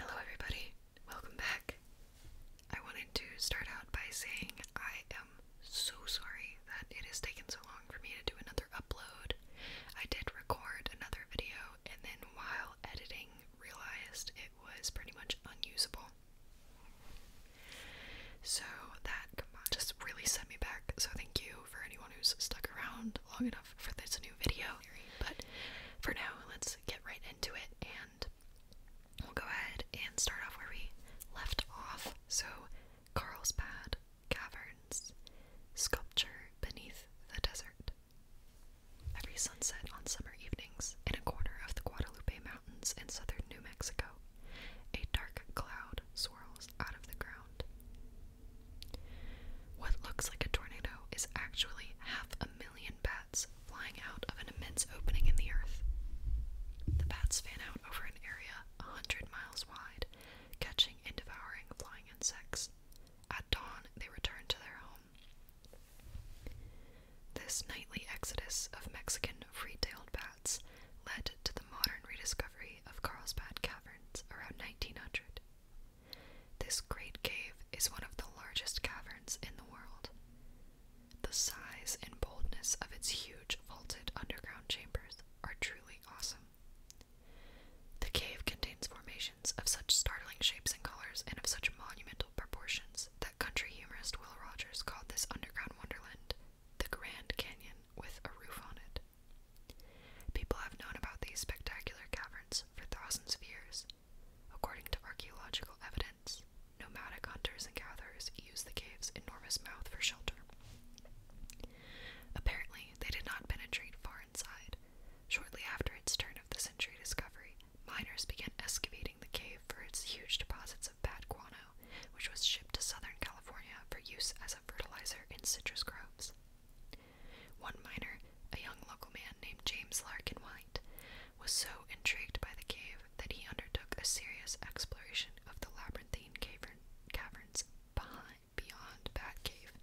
Hello, everybody. Welcome back. I wanted to start out by saying I am so sorry that it has taken so long for me to do another upload. I did record another video and then while editing realized it was pretty much unusable. So that just really set me back. So thank you for anyone who's stuck around long enough for this new video. But for now, let's get right into it and we'll go ahead and start off where we left off. So, Carlsbad Caverns, sculpture beneath the desert. Every sunset on summer evenings in a corner of the Guadalupe Mountains in southern New Mexico, a dark cloud swirls out of the ground. What looks like a tornado is actually half a bats flying out of an immense opening in the earth. The bats fan out over an area hundred miles wide, catching and devouring flying insects. At dawn, they return to their home. This nightly exodus of Mexican free-tailed bats led to the modern rediscovery of Carlsbad Caverns around 1900. This great cave is one of the largest caverns in the world. The size and boldness of its huge vaulted underground chambers are truly awesome. The cave contains formations of such startling shapes and colors and of such monumental proportions that country humorist Will Rogers called this underground wonderland the Grand Canyon with a roof on it. People have known about these spectacular caverns for thousands of years, According to archaeological evidence, nomadic hunters and gatherers used the cave's enormous mouth for shelter. Apparently, they did not penetrate far inside. Shortly after its turn of the century discovery, miners began excavating the cave for its huge deposits of bad guano, which was shipped to Southern California for use as a fertilizer in citrus groves. One miner, a young local man named James Larkin White, was so intrigued by the cave that he undertook a serious exploration of the labyrinthine caverns behind, beyond Bat Cave.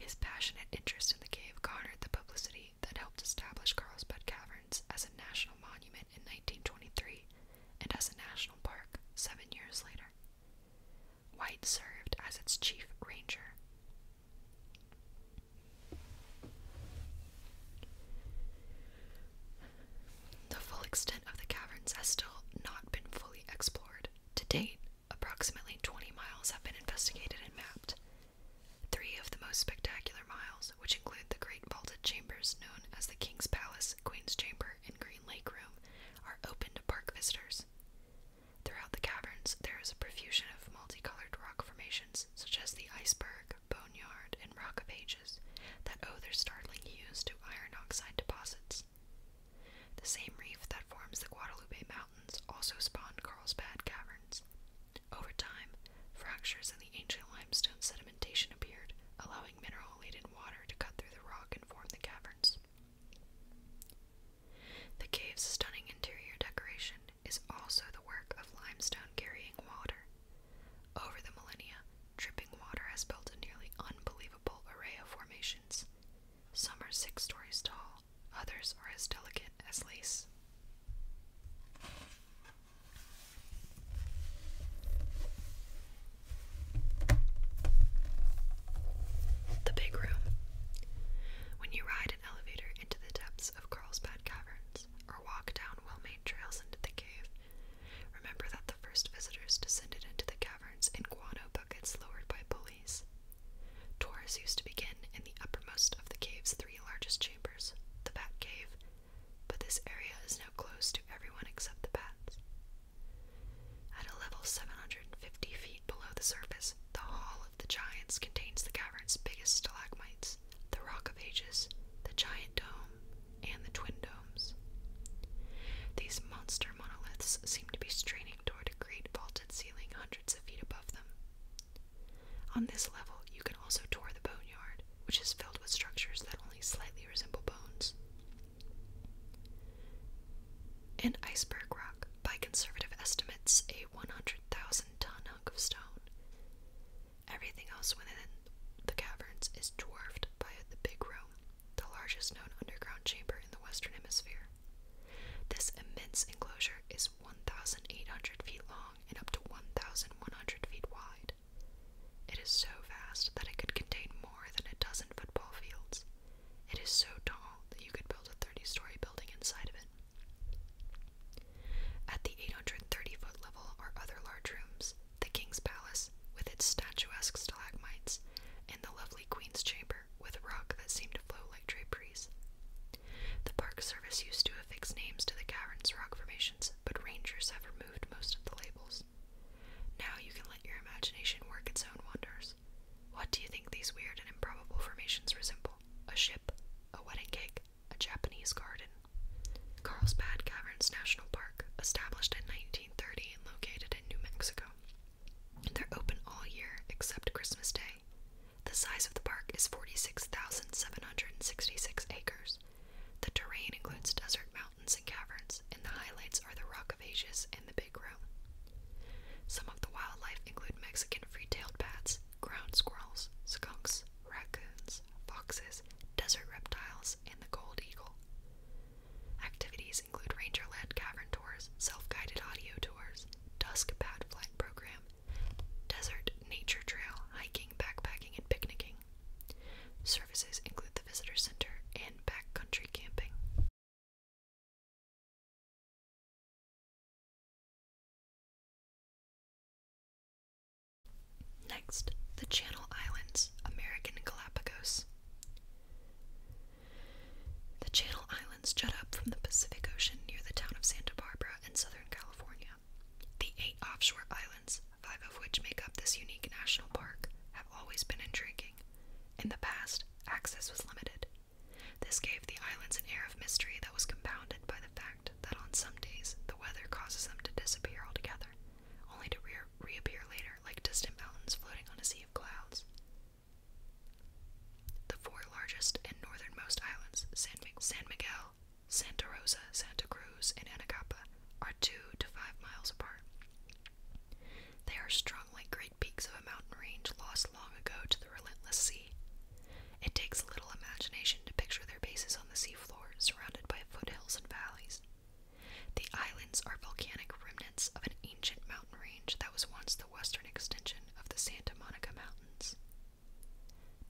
His passionate interest in the cave garnered the publicity that helped establish Carlsbad Caverns as a national monument in 1923 and as a national park seven years later. White served as its chief ranger. The full extent of the caverns has still not been fully explored. To date, approximately 20 miles have been investigated and mapped. Three of the most spectacular miles, which include the great vaulted chambers known as the King's Palace, Queen's Chamber, and Green Lake Room, are open to park visitors. Throughout the caverns, there is a profusion of multicolored rock formations, such as the iceberg, boneyard, and rock of ages, that owe their startling hues to iron oxide deposits. The same reef that forms the Guadalupe Mountains also spawned Carlsbad Caverns. Over time, fractures in the ancient limestone sedimentation appeared, allowing mineral laden water to cut through the rock and form the caverns. The cave's stunning interior decoration is also the work of limestone carrying water. Over the millennia, dripping water has built a nearly unbelievable array of formations. Some are six stories tall, others are as delicate as lace. The Big Room. When you ride an elevator into the depths of Carlsbad Caverns or walk down well made trails into the cave. Remember that the first visitors descended into the caverns in guano buckets lowered by pulleys. Tours used to begin in the uppermost of the cave's three largest chambers, the Bat Cave, but this area is now closed to everyone except the bats. At a level 750 feet below the surface, the Hall of the Giants contains the cavern's biggest stalagmites, the Rock of Ages, the Giant Dome, and the Twin Domes. These monster monoliths seem to be straining toward a great vaulted ceiling hundreds of feet above them. On this level, you can also tour the boneyard, which is filled with structures that only slightly resemble bones. An iceberg rock, by conservative estimates a 100,000 ton of stone. Everything else within the caverns is dwarfed by the Big Room, the largest known underground chamber in the Western Hemisphere. This immense enclosure is 1,800 feet long and up to 1,100 feet wide. It is so vast that it could contain more than a dozen football fields. It is so tall that you could build a 30 story building inside of it. At the 830 foot level are other large rooms the King's Palace, with its statuesque stalagmites, and the lovely Queen's Chamber, with rock that seemed to flow like draperies. The Park Service used to affix names to the cavern's rock formations, but rangers have removed most of the labels. Now you can let your imagination work its own wonders. What do you think these weird and improbable formations resemble? a ship, a wedding cake, a Japanese garden. Carlsbad Caverns National Park, established in 1930 and located in New Mexico. They're open all year except Christmas Day. The size of the park is 46,766 acres. The terrain includes desert mountains and caverns, and the highlights are the Rock of Ages and the Big Room. Some of the wildlife include Mexican free tailed bats, ground squirrels, skunks, raccoons, foxes, desert reptiles, and the gold eagle. Activities include ranger-led cavern tours, self-guided audio tours, dusk pad flight program, desert nature trail, hiking, backpacking, and picnicking. Services include the visitor center and backcountry camping. Next, the Channel Islands, American Galapagos. The Channel Islands jut up from the Pacific Ocean near the town of Santa Barbara in Southern California. The eight offshore islands, five of which make up this unique national park, have always been intriguing. In the past, access was limited, this gave the islands an air of mystery that was compounded by the fact that on some days the weather causes them to disappear altogether, only to reappear later like distant mountains floating on a sea of clouds. The four largest and northernmost islands, San, San Miguel, Santa Rosa, Santa Cruz, and Anacapa, are two to five miles apart. They are strung like great peaks of a mountain range lost long ago to the relentless sea. It takes little imagination to picture their bases on the seafloor, surrounded by foothills and valleys. The islands are volcanic remnants of an ancient mountain range that was once the western extension of the Santa Monica Mountains.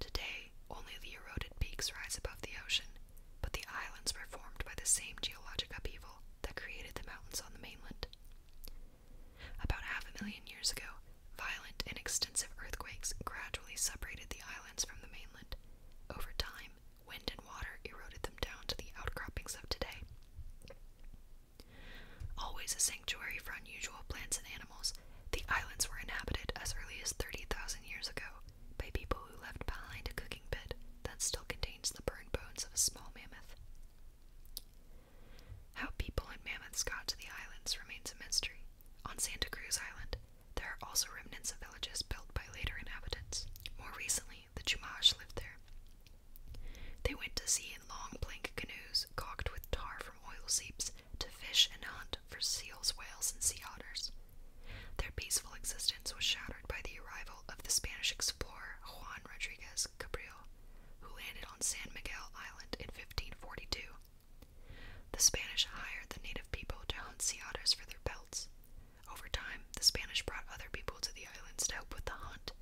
Today, only the eroded peaks rise above the ocean, but the islands were formed by the same geologic upheaval that created the mountains on the mainland. About half a million years ago, violent and extensive earthquakes gradually separated the islands from the mainland. Over time, wind and water eroded them down to the outcroppings of today. Always a sanctuary for unusual plants and animals, the islands were inhabited as early as 30,000 years ago by people who left behind a cooking pit that still contains the burned bones of a small mammoth. How people and mammoths got to the islands remains a mystery. On Santa Cruz Island, there are also remnants of villages built by later inhabitants. More recently, the Chumash lived there. They went to sea in long plank canoes caulked with tar from oil seeps to fish and hunt for seals, whales, and sea otters. Their peaceful existence was shattered by the arrival of the Spanish explorer Juan Rodriguez Cabrillo, who landed on San Miguel Island in 1542 the Spanish hired the native people to hunt sea otters for their pelts. Over time, the Spanish brought other people to the islands to help with the hunt.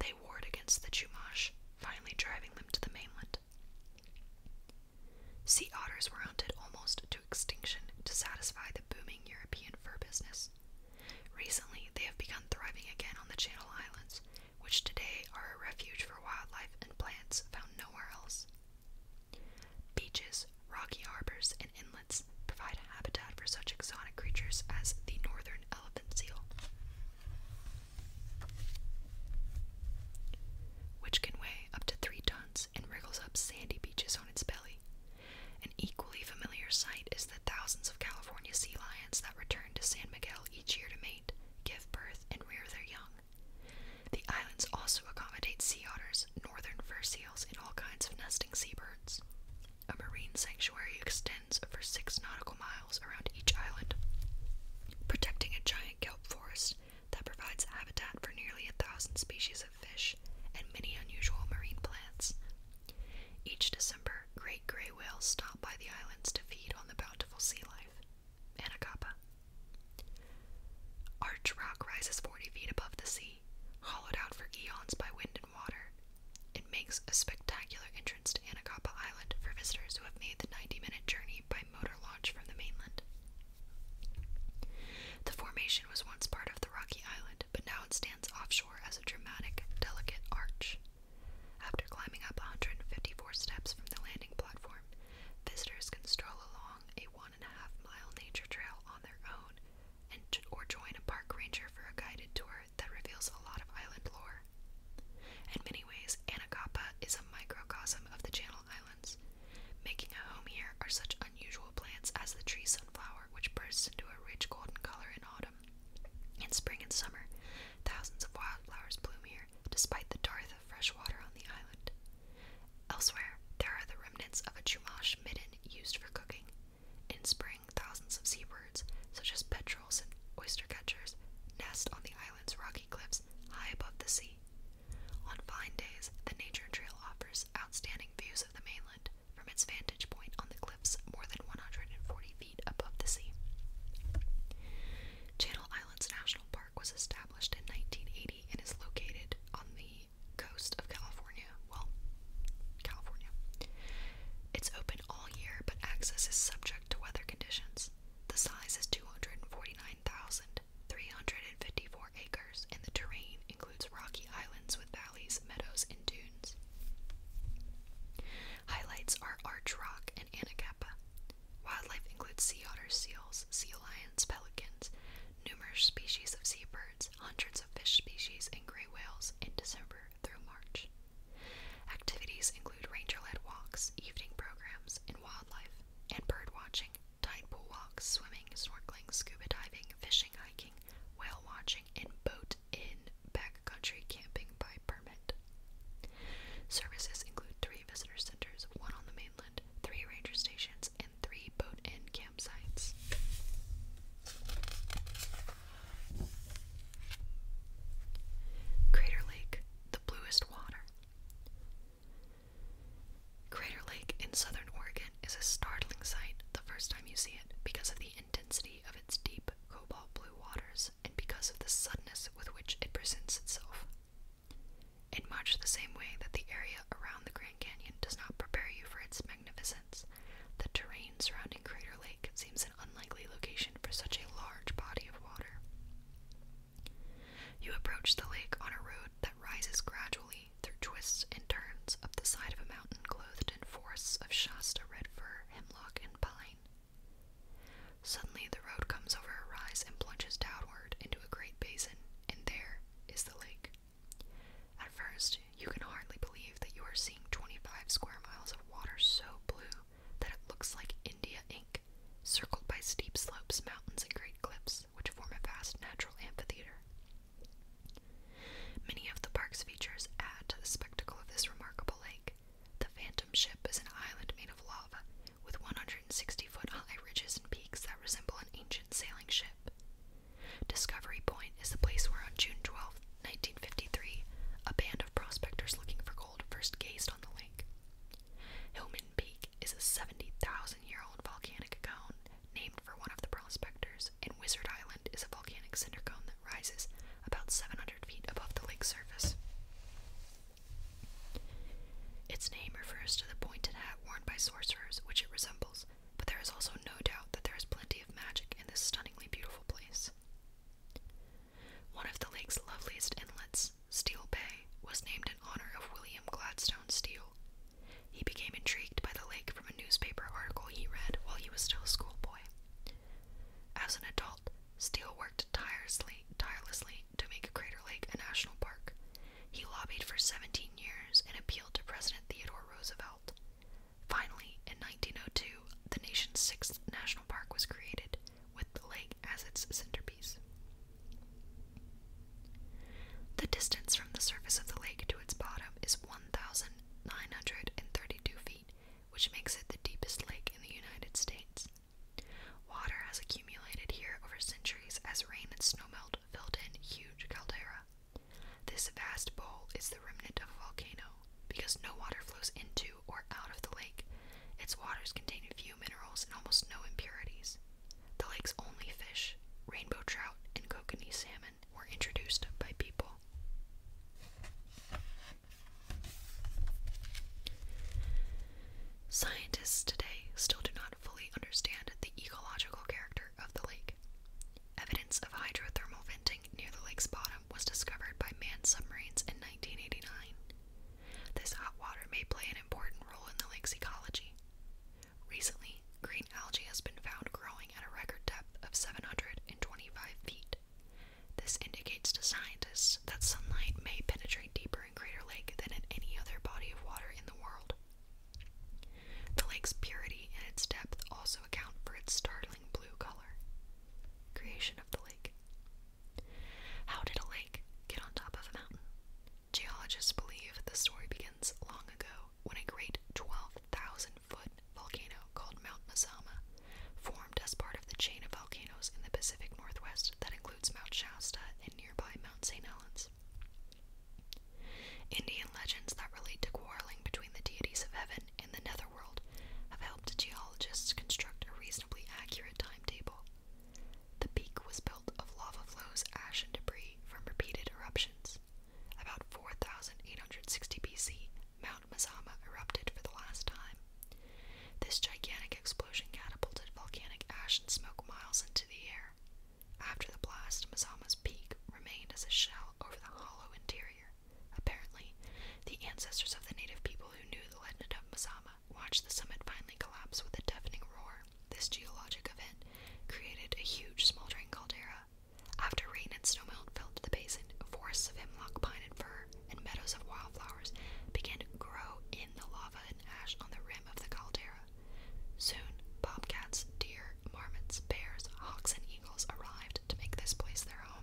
They warred against the Chumash, finally driving them to the mainland. Sea otters were hunted almost to extinction to satisfy the booming European fur business. Recently, they have begun thriving again on the Channel Islands, which today are a refuge for wildlife and plants found nowhere else. Beaches, rocky harbors, and inlets provide a habitat for such exotic creatures as the northern elephant seal, which can weigh up to three tons and wriggles up sandy beaches on its belly. An equally familiar sight is the thousands of California sea lions that return to San Miguel each year to mate, give birth, and rear their young. The islands also accommodate sea otters, northern fur seals, and all kinds of nesting seabirds. A marine sanctuary extends over six nautical miles around each island, protecting a giant kelp forest that provides habitat for nearly a thousand species of fish and many unusual marine plants. Each December, great gray whales stop by the islands to feed on the bountiful sea life. Anacapa. Arch Rock rises 40 feet above the sea, hollowed out for eons by wind and water. It makes a spectacular entrance to Anacapa Island for visitors who have made the 90 minute journey by motor launch from the mainland. The formation was once part of the Rocky Island, but now it stands offshore as a dramatic, delicate arch. After climbing up 154 steps from the landing platform, visitors can stroll along a one and a half mile nature trail on their own and or join a park ranger for a guided tour that reveals a lot of island lore. In many ways, Anacapa is a microcosm of the Channel Islands. Making a home here are such unusual plants as the tree sunflower, which bursts into a rich golden color in autumn. In spring and summer, thousands of wildflowers bloom here, despite the dearth of fresh water on the island. Elsewhere, there are the remnants of a Jumash midden used for cooking. In spring, thousands of seabirds, such as petrels and oyster catchers, nest on the island's rocky cliffs high above the sea. On fine days, the nature trail offers outstanding views of the mainland from its vantage point on the cliffs more than 140 feet above the sea. Channel Islands National Park was established in 1980 and is located on the coast of California. Well, California. It's open all year, but access is subject to weather conditions. The size is 249,354 acres, and the terrain includes rocky islands with valleys, meadows, and dunes. Highlights are arch rock and Anacapa. Wildlife includes sea otters, seals, sea lions, pelicans, numerous species of seabirds, hundreds of fish species, and gray whales in December through March. Activities include ranger-led walks, evening programs, in wildlife, and bird watching, tide pool walks, swimming, snorkeling, scuba diving, fishing, hiking, whale watching, and boat in backcountry camping by permit. Services include 3 visitor centers, one on the mainland, three ranger stations, and three boat and campsites. Crater Lake, the bluest water. Crater Lake in southern Oregon is a startling sight the first time you see it because of the intensity of its deep cobalt blue waters and because of the suddenness with which it presents itself. In much the same way that the area around the Grand Canyon does not prepare you for its magnificence, the terrain surrounding Crater Lake seems an unlikely location for such a large body of water. You approach the lake on a road that rises gradually through twists and turns up the side of a mountain clothed in forests of Shasta red fir, hemlock, and pine. Suddenly, the road comes over a rise and plunges downward into a great basin, and there is the lake. At first, you can hardly believe that you are seeing 25 square miles of water so blue that it looks like India ink, circled by steep slopes, mountains, and great cliffs, which form a vast natural amphitheater. Many of the park's features add to the spectacle of this remarkable lake. The Phantom Ship is an island made of lava with 160 foot high ridges and peaks that resemble an ancient sailing ship. Discovery Point is the place where, on June 12, 1953, a band of prospectors looking for gold first gazed on the lake. Hillman Peak is a 70,000 year old volcanic cone named for one of the prospectors, and Wizard Island is a volcanic cinder cone that rises about 700 feet above the lake's surface. Its name refers to the pointed hat worn by sorcerers, which it resembles, but there is also no doubt that there is plenty of magic in this stunningly beautiful place. One of the lake's loveliest inlets, Steel Bay, was named in honor of William Gladstone Steele. He became intrigued by the lake from a newspaper article he read while he was still a schoolboy. As an adult, Steele worked tirelessly, tirelessly to make Crater Lake a national park. He lobbied for 17 years and appealed to President Theodore Roosevelt. Finally, in 1902, the nation's sixth national park was created, with the lake as its centerpiece. The distance from the surface of the lake to its bottom is 1,932 feet, which makes it the deepest lake in the United States. Water has accumulated here over centuries as rain and snowmelt filled in huge caldera. This vast bowl is the remnant of a volcano. Because no water flows into or out of the lake, its waters contain few minerals and almost no impurities. The lake's only fish, rainbow trout and kokanee salmon, were introduced by people. Scientists today still do not fully understand the ecological character of the lake. Evidence of hydrothermal venting near the lake's bottom was discovered by manned submarines in 1989. This hot water may play an important role in the lake's ecology. Recently, green algae has been found growing at a record depth of 725 feet. This indicates to scientists that sunlight may penetrate deeper water Lake than in any other body of water in the world. The lake's purity and its depth also account for its startling blue color. Creation of the lake. How did a lake get on top of a mountain? Geologists believe the story begins long ago when a great 12,000 foot volcano called Mount Mazama formed as part of the chain of volcanoes in the Pacific Northwest that includes Mount Shasta and nearby Mount St. Helens. Indian legends that relate to quarreling between the deities of heaven and the netherworld have helped geologists construct a reasonably accurate timetable. The peak was built of lava flows, ash, and debris from repeated eruptions. About 4860 BC, Mount Mazama erupted for the last time, this gigantic explosion catapulted volcanic ash and smoke miles into the air. After the blast, Mazama's peak remained as a shell over the hollow interior. Apparently, the ancestors of the native people who knew the legend of Mazama watched the summit finally collapse with a deafening roar. This geologic event created a huge smoldering caldera. After rain and snow melt filled the basin, forests of hemlock, pine, and fir and meadows of wildflowers began to grow in the lava and ash on the rim of the caldera. Soon, bobcats, deer, marmots, bears, hawks, and eagles arrived to make this place their home.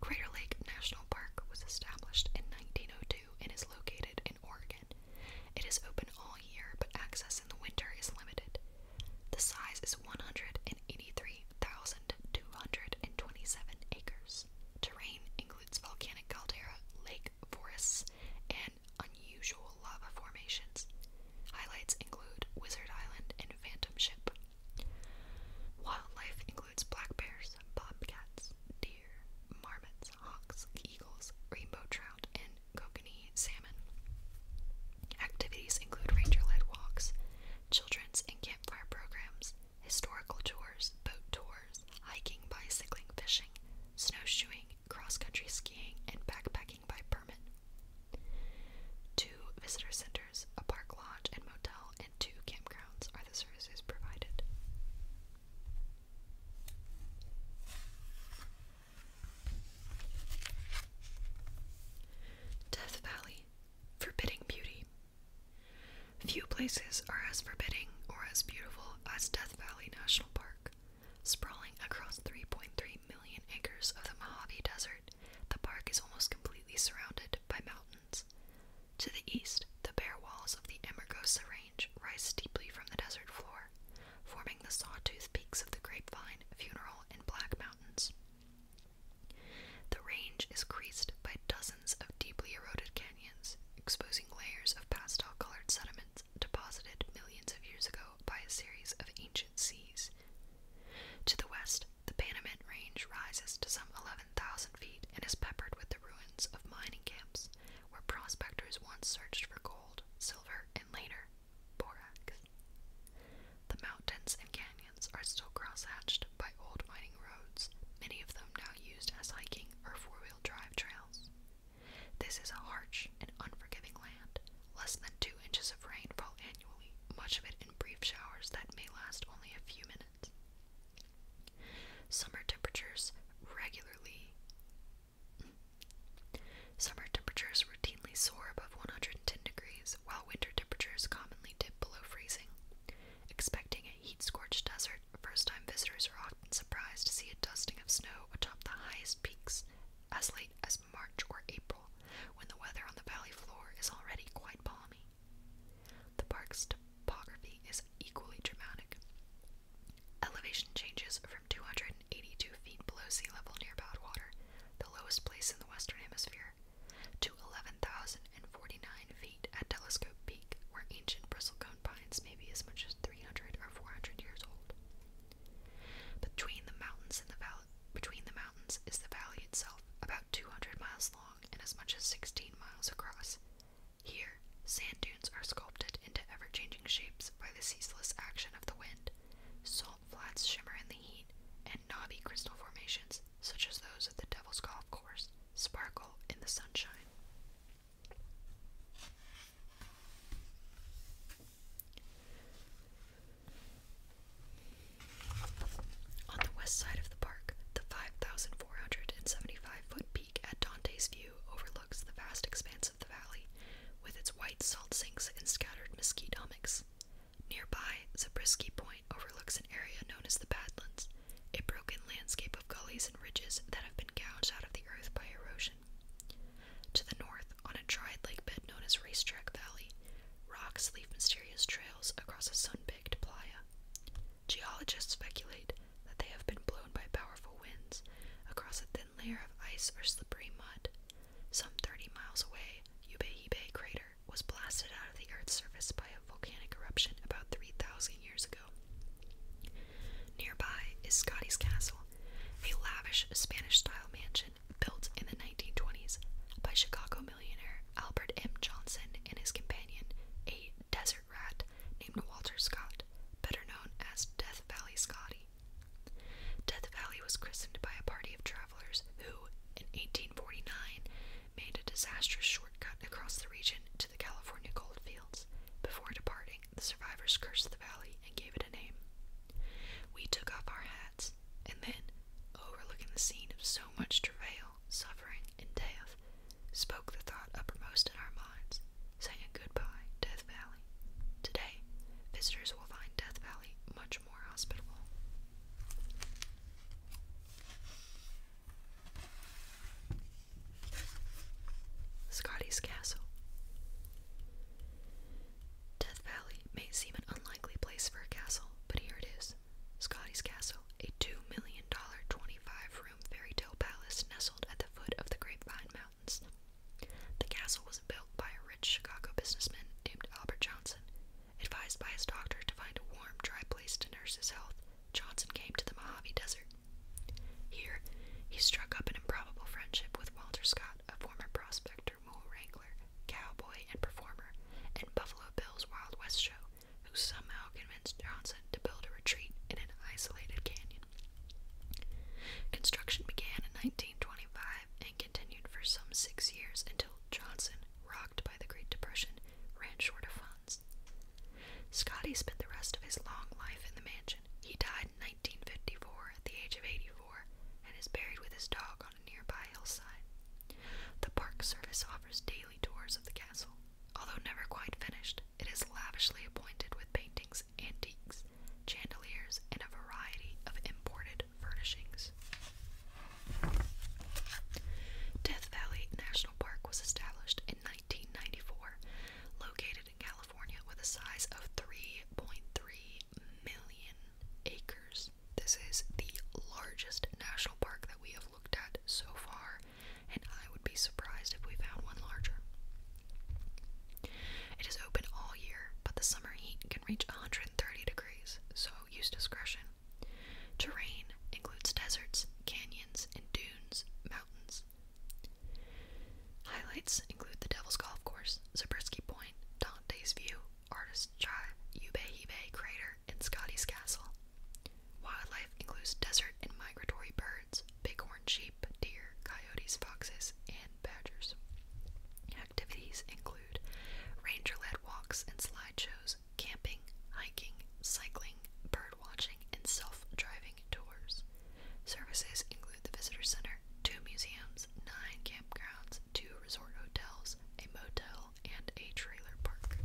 Crater Lake National Park was established in 1902 and is located in Oregon. It is open all year, but access in the winter is limited. The size is 183,227 acres. Terrain, includes volcanic caldera, lake forests, and unusual lava formations. Highlights include Wizard Island and Phantom Ship. Wildlife includes black bears, bobcats, deer, marmots, hawks, eagles, rainbow trout, and kokanee salmon. Activities include ranger led walks, children's and campfire programs, historical tours, boat tours, hiking, bicycling, fishing, snowshoeing, cross country skiing, and backpacking by permit. Two visitor centers, a park lodge and motel, and two campgrounds are the services provided. Death Valley Forbidding Beauty Few places are as forbidding or as beautiful as Death Valley National Park. Sprawling across 3.3 million acres of the Mojave Desert, the park is almost completely surrounded by mountains. To the east, the bare walls of the Amargosa Range rise steeply from the desert floor, forming the sawtooth peaks of the Grapevine, Funeral, and Black Mountains. The range is creased by dozens of deeply eroded canyons, exposing layers of pastel-colored sediments deposited millions of years ago by a series of ancient seas. To the west, the Panamint Range rises to some 11,000 feet and is peppered with the ruins of mining camps where prospectors once searched for gold, silver, and later, borax. The mountains and canyons are still cross-hatched by old mining roads, many of them now used as hiking or four-wheel drive trails. This is a harsh and unforgiving land. Less than two inches of rain fall annually, much of it in brief showers that may last only a few minutes. Summer temperatures regularly Summer temperatures routinely soar above 110 degrees, while winter temperatures commonly dip below freezing. Expecting a heat-scorched desert first-time visitors are often surprised to see a dusting of snow atop the highest peaks as late as March or April, when the weather on the valley floor is already quite balmy. The park's topography is equally dramatic. Elevation changes from 282 feet below sea level near Badwater, the lowest place in the Western Hemisphere, to 11,049 at Telescope Peak, where ancient bristlecone pines may be as much as 300 or 400 years old. Between the mountains and the valley, between the mountains is the valley itself, about 200 miles long and as much as 16 miles across. Here, sand dunes are sculpted into ever-changing shapes by the ceaseless action of the wind. Salt flats shimmer in the heat, and knobby crystal formations, such as those at the Devil's Golf Course, sparkle in the sunshine. On the west side of the park, the 5,475 foot peak at Dante's View overlooks the vast expanse of the valley, with its white salt sinks and scattered mesquite hummocks. Nearby, Zabriskie Point overlooks an area known as the Badlands, a broken landscape of gullies and ridges that have been gouged out of the earth by erosion. To the north, on a dried lake bed known as Racetrack Valley, rocks leave mysterious trails across a sun-baked playa. Geologists speculate that they have been blown by powerful winds across a thin layer of ice or slippery mud. Some 30 miles away, Yubehibe Crater was blasted out of the Earth's surface by a volcanic eruption about 3,000 years ago. Nearby is Scotty's Castle, a lavish Spanish style mansion built in the 1920s by Chicago millionaire Albert M. Johnson and his companion, a desert rat named Walter Scott, better known as Death Valley Scotty. Death Valley was christened by a party of travelers who, in 1849, made a disastrous shortcut across the region to the California goldfields. Before departing, the survivors cursed the valley and gave it a name. We took off our hats, and then, overlooking the scene of so much travail, suffering, and death, spoke the thought uppermost in our minds, saying goodbye, Death Valley. Today, visitors will find Death Valley much more hospitable. Scotty's Castle. Death Valley may seem an unlikely place for a castle, but here it is. Scotty's Castle, a $2 million 25-room fairy tale palace nestled at the foot of the Grapevine Mountains. The castle was built by a rich Chicago businessman named Albert Johnson. Advised by his doctor to find a warm, dry place to nurse his health, Johnson came to the Mojave Desert. Here, he struck up an improbable friendship with Walter Scott, a former prospector, mule wrangler, cowboy, and performer, and Buffalo Bill's Wild West show, who somehow convinced Johnson to build a retreat in an isolated canyon. Construction began in 1925 and continued for some six years until Johnson, rocked by the Great Depression, ran short of funds pounds. Scotty spent the rest of his long life in the mansion. He died in 1954 at the age of 84 and is buried with his dog on a nearby hillside. The Park Service offers daily tours of the castle. Although never quite finished, it is lavishly appointed with paintings, antiques, chandeliers, and a variety of imported furnishings. Death Valley National Park was established in 1994, located in California with a size of 3.3 million acres. This is the largest national park that we have looked at so far, and I would be surprised if we found one larger. It is open all year, but the summer heat can reach 130 degrees, so use discretion. Terrain includes deserts, canyons, and dunes, Highlights include the Devil's Golf Course, Zabriskie Point, Dante's View, Artist's Drive, Yuba Ube Crater, and Scotty's Castle. Wildlife includes desert and migratory birds, bighorn sheep, deer, coyotes, foxes, and badgers. Activities include ranger-led walks and slideshows, camping, hiking, cycling, bird watching, and self-driving tours. Services include the visitor center, two museums, nine campgrounds, two resort hotels, a motel, and a trailer park.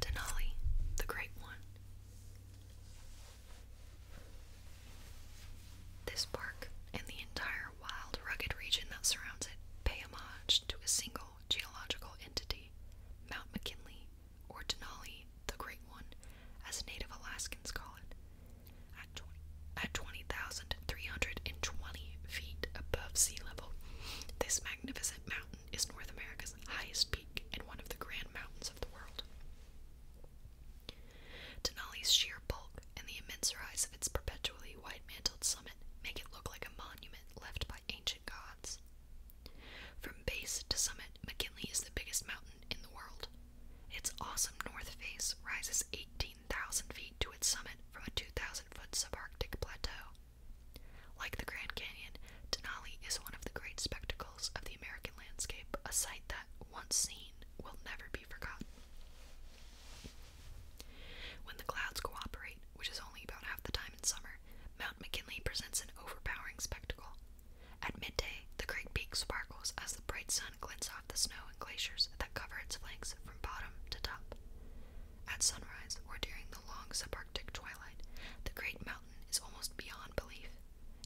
Denali, the Great One. This park and the entire wild, rugged region that surrounds it pay homage to a single geological entity, Mount McKinley, or Denali, the Great One, as Native Alaskans call it. At 20, feet above sea level, this magnificent mountain is North America's highest peak and one of the grand mountains of the world. Denali's sheer bulk and the immense rise of its perpetually white mantled summit make it look like a monument left by ancient gods. From base to summit, McKinley is the biggest mountain in the world. Its awesome north face rises 18,000 feet to its summit from a 2,000 foot subarctic plateau. Like the Grand Canyon, Denali is one of the great spectacles of the American landscape, a sight that, once seen, will never be forgotten. When the clouds cooperate, which is only about half the time in summer, Mount McKinley presents an overpowering spectacle. At midday, the Great Peak sparkles as the bright sun glints off the snow and glaciers that cover its flanks from bottom to top. At sunrise, or during the long subarctic twilight, the Great Mountain is almost beyond belief.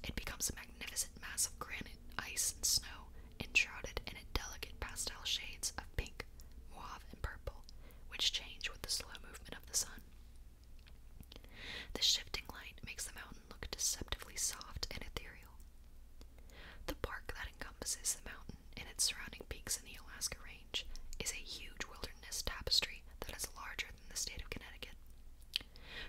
It becomes a magnificent mass of granite, ice, and snow, enshrouded in a delicate pastel shades of pink, mauve, and purple, which change with the slow movement of the sun. The shifting light makes the mountain look deceptively soft and ethereal. The park that encompasses the mountain and its surrounding peaks in the Alaska Range is a huge wilderness tapestry that is larger northern the state of Connecticut.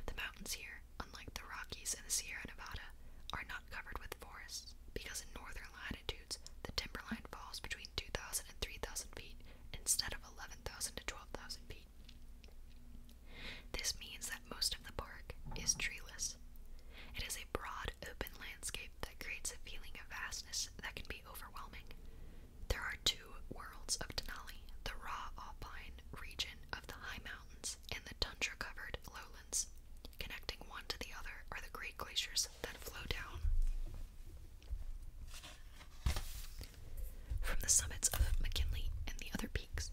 The mountains here, unlike the Rockies and the Sierra Nevada, are not covered with forests because in northern latitudes the timberline falls between 2,000 and 3,000 feet instead of 11,000 to 12,000 feet. This means that most of the park is treeless. It is a broad, open landscape that creates a feeling of vastness that can be overwhelming. There are two worlds of Denali the raw alpine region of the high mountains and the tundra covered lowlands. Connecting one to the other are the great glaciers that flow down. From the summits of McKinley and the other peaks,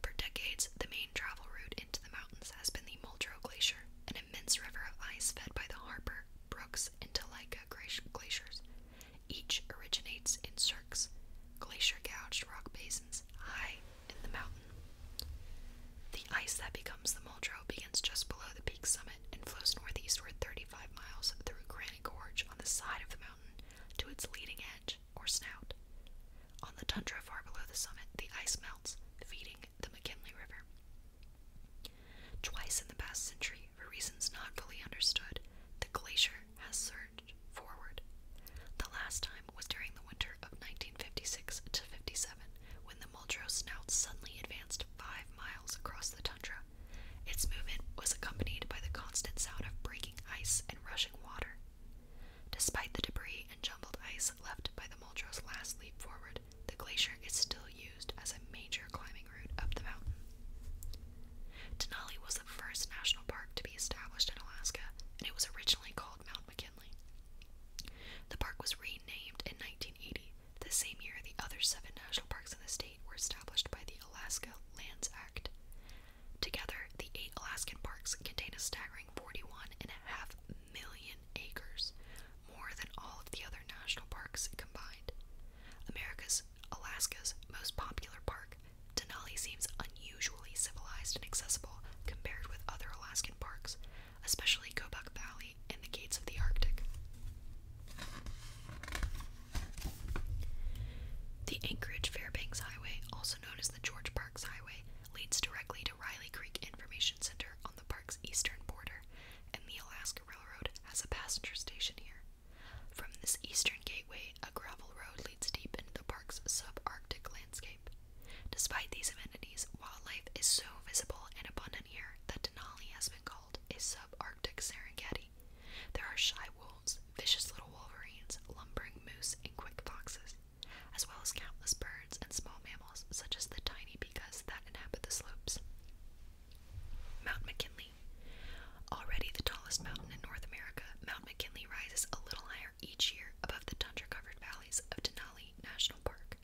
for decades the main travel route into the mountains has been the Muldrow Glacier, an immense river of ice fed by the Harper, brooks, and Topeka glaciers. Each originates in cirques, glacier gouged rock basins high in the mountain. The ice that becomes the Muldrow begins just below the peak's summit and flows northeastward 35 miles through Granite Gorge on the side of the mountain to its leading edge, or snout. On the tundra far below the summit, the ice melts, feeding the McKinley River. Twice in the past century, for reasons not fully understood, the glacier has surged forward. The last time was during the winter of 1956 to 57, when the Muldrow snout suddenly advanced five miles across the tundra. Its movement was accompanied by the constant sound of breaking ice and rushing water. Despite the debris and jumbled ice left by the Muldrow's last leap forward, the glacier is still used as a major climbing Denali was the first national park to be established in Alaska, and it was originally called Mount McKinley. The park was renamed in 1980, the same year the other seven national parks in the state were established by the Alaska Lands Act. Together, the eight Alaskan parks contain a staggering 41.5 million acres, more than all of the other national parks combined. America's, Alaska's most popular park, Denali seems unusually civilized and accessible compared with other Alaskan parks, especially Kobuk Valley and the Gates of the Arctic. The Anchorage Fairbanks Highway, also known as the George Parks Highway, leads directly to Riley Creek Information Center on the park's eastern border, and the Alaska Railroad has a passenger station here. From this eastern gateway, a gravel road leads deep into the park's subarctic landscape. Despite these amenities, wildlife is so visible and abundant here that Denali has been called a subarctic Serengeti. There are shy wolves, vicious little wolverines, lumbering moose, and quick foxes, as well as countless birds and small mammals such as the tiny pikas that inhabit the slopes. Mount McKinley. Already the tallest mountain in North America, Mount McKinley rises a little higher each year above the tundra covered valleys of Denali National Park.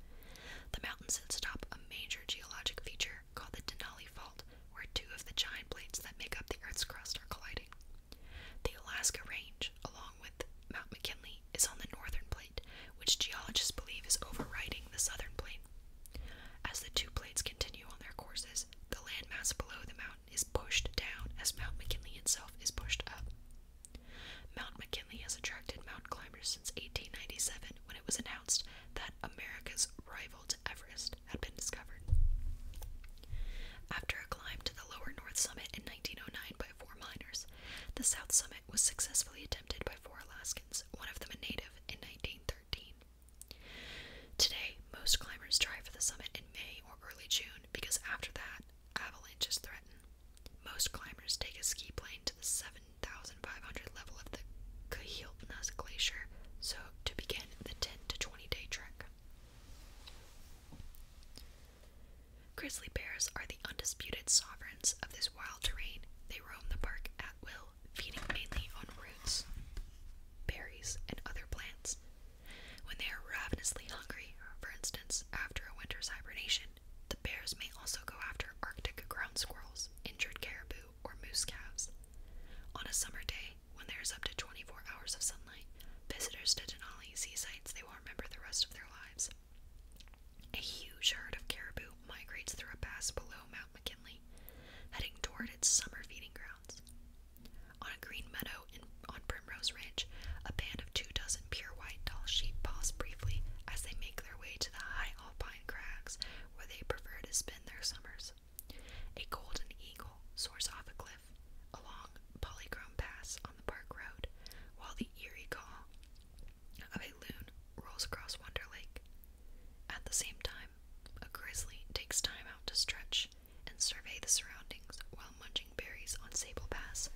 The mountain sits atop a major geologic feature called the Denali Fault, where two of the giant plates that make up the Earth's crust are colliding. The Alaska Range, along with Mount McKinley, is on the northern plate, which geologists believe is overriding the southern plate. As the two plates continue on their courses, rise, the landmass below the mountain is pushed down as Mount McKinley itself is pushed up. Mount McKinley has attracted mount climbers since 1897 when it was announced that America's rival to Everest had been discovered. After a climb to the lower north summit in 1909 by four miners, the south summit was successfully attempted by four Alaskans, one of them a native, in 1913. Today, most climbers try for the summit in May or early June because after that, avalanches threaten. Most climbers take a ski plane to the 7,500 level of the Kahiltnas Glacier so to begin the 10 to 20 day trek. Grizzly bears are the undisputed sovereigns of this wild terrain. They roam the park at will feeding mainly on roots, berries, and other plants. When they are ravenously hungry, for instance, after a winter's hibernation, the bears may also go after Arctic ground squirrels, injured caribou, or moose calves. On a summer day, when there is up to 24 hours of sunlight, visitors to Denali see sights they will remember the rest of their lives. A huge herd of caribou migrates through a pass below Mount McKinley, heading toward its summer feeding grounds. On a green meadow in, on Primrose Ridge, a band of two dozen pure white doll sheep pause briefly as they make their way to the high alpine crags where they prefer to spend their summers. A golden eagle soars off a cliff along Polychrome Pass on the park road, while the eerie call of a loon rolls across Wonder Lake. At the same time, a grizzly takes time out to stretch and survey the surroundings while munching berries on Sable Pass,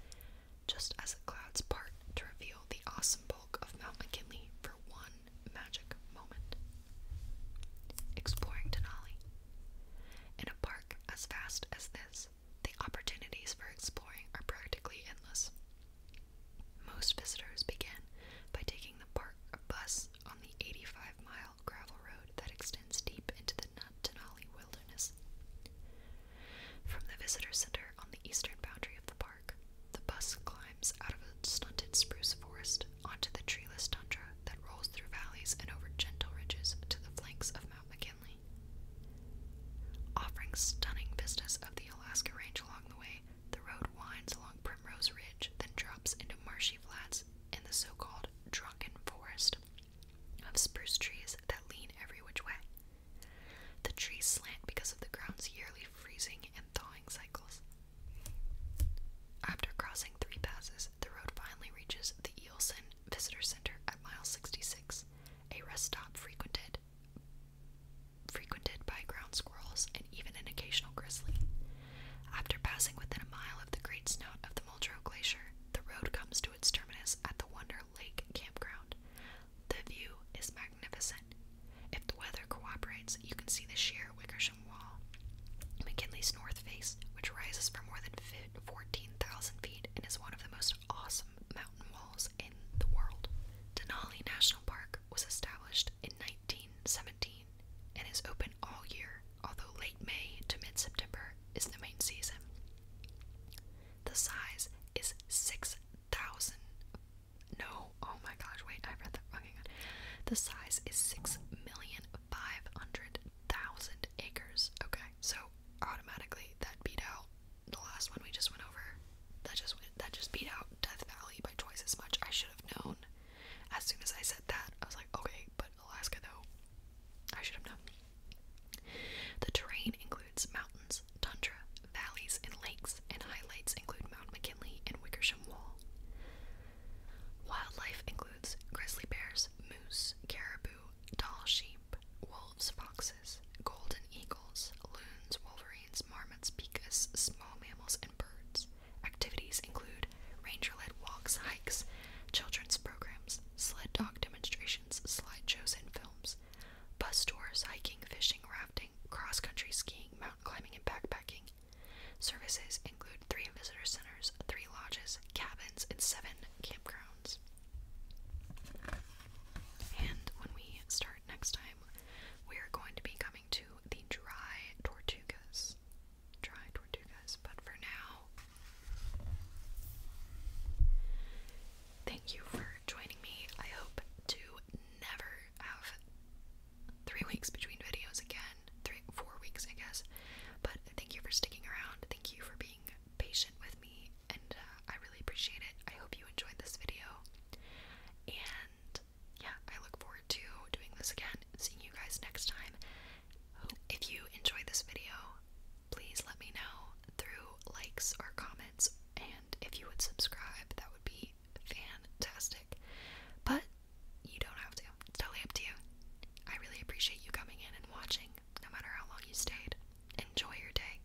just as the clouds part to reveal the awesome bulk of Mount McKinley for one magic moment. Exploring Denali. In a park as vast as this, the opportunities for exploring are practically endless. Most visitors begin by taking the park bus on the 85 mile mile gravel road that extends deep into the Denali wilderness. From the visitor center on the eastern boundary of the park, the bus climbs out of a stunted spruce forest onto the treeless tundra that rolls through valleys and over gentle ridges to the flanks of Mount McKinley. Offering stunning vistas of the Alaska Range along the way, the road winds along Primrose Ridge, then drops into marshy flats in the so called drunken forest of spruce trees that lean every which way. The trees slant because of the ground's yearly freezing and thawing cycles. After crossing three passes, the road finally reaches the Eelson Visitor Center at mile 66, a rest stop frequented frequented by ground squirrels and even an occasional grizzly. After passing within a mile of the Great Snout of the Muldrow Glacier, the road comes to its terminus at the Wonder Lake Campground. The view is magnificent. If the weather cooperates, you can see the sheer Wickersham Wall, McKinley's North Face, which rises for more than 14,000 feet and is one of the most awesome mountain walls in the world. Denali National Park was established in 1917 and is open all year, although late May to mid September is the main season. The size is 6,000. No, oh my gosh, wait, I read that wrong. The size is 6,500,000 acres. Okay, so automatically that beat out the last one we just went over. That just that just beat out Death Valley by twice as much. I should have known. As soon as I said that, I was like, okay, but Alaska though, I should have known. The terrain includes mountains, tundra, valleys, and lakes, and highlights include Mount McKinley and Wickersham Wall. Wildlife includes grizzly bears, moose, caribou, tall sheep, wolves, foxes, golden eagles, loons, wolverines, marmots, pikas, small mammals, and birds. Activities include ranger-led walks, hikes, children's programs, sled dog demonstrations, slide shows, and films, bus tours, hiking, fishing, rafting, cross-country skiing, mountain climbing, and backpacking. Services include three visitor centers, three lodges, cabins, and seven campgrounds. And when we start next time, we are going to be coming to the Dry Tortugas try toward But for now, thank you for joining me. I hope to never have three weeks between videos again. Three, four weeks, I guess. But thank you for sticking around. Thank you for being patient with me, and uh, I really appreciate it. I hope you enjoyed this video. And yeah, I look forward to doing this again seeing you guys next time. If you enjoyed this video, please let me know through likes or comments, and if you would subscribe, that would be fantastic. But you don't have to, it's totally up to you. I really appreciate you coming in and watching, no matter how long you stayed. Enjoy your day.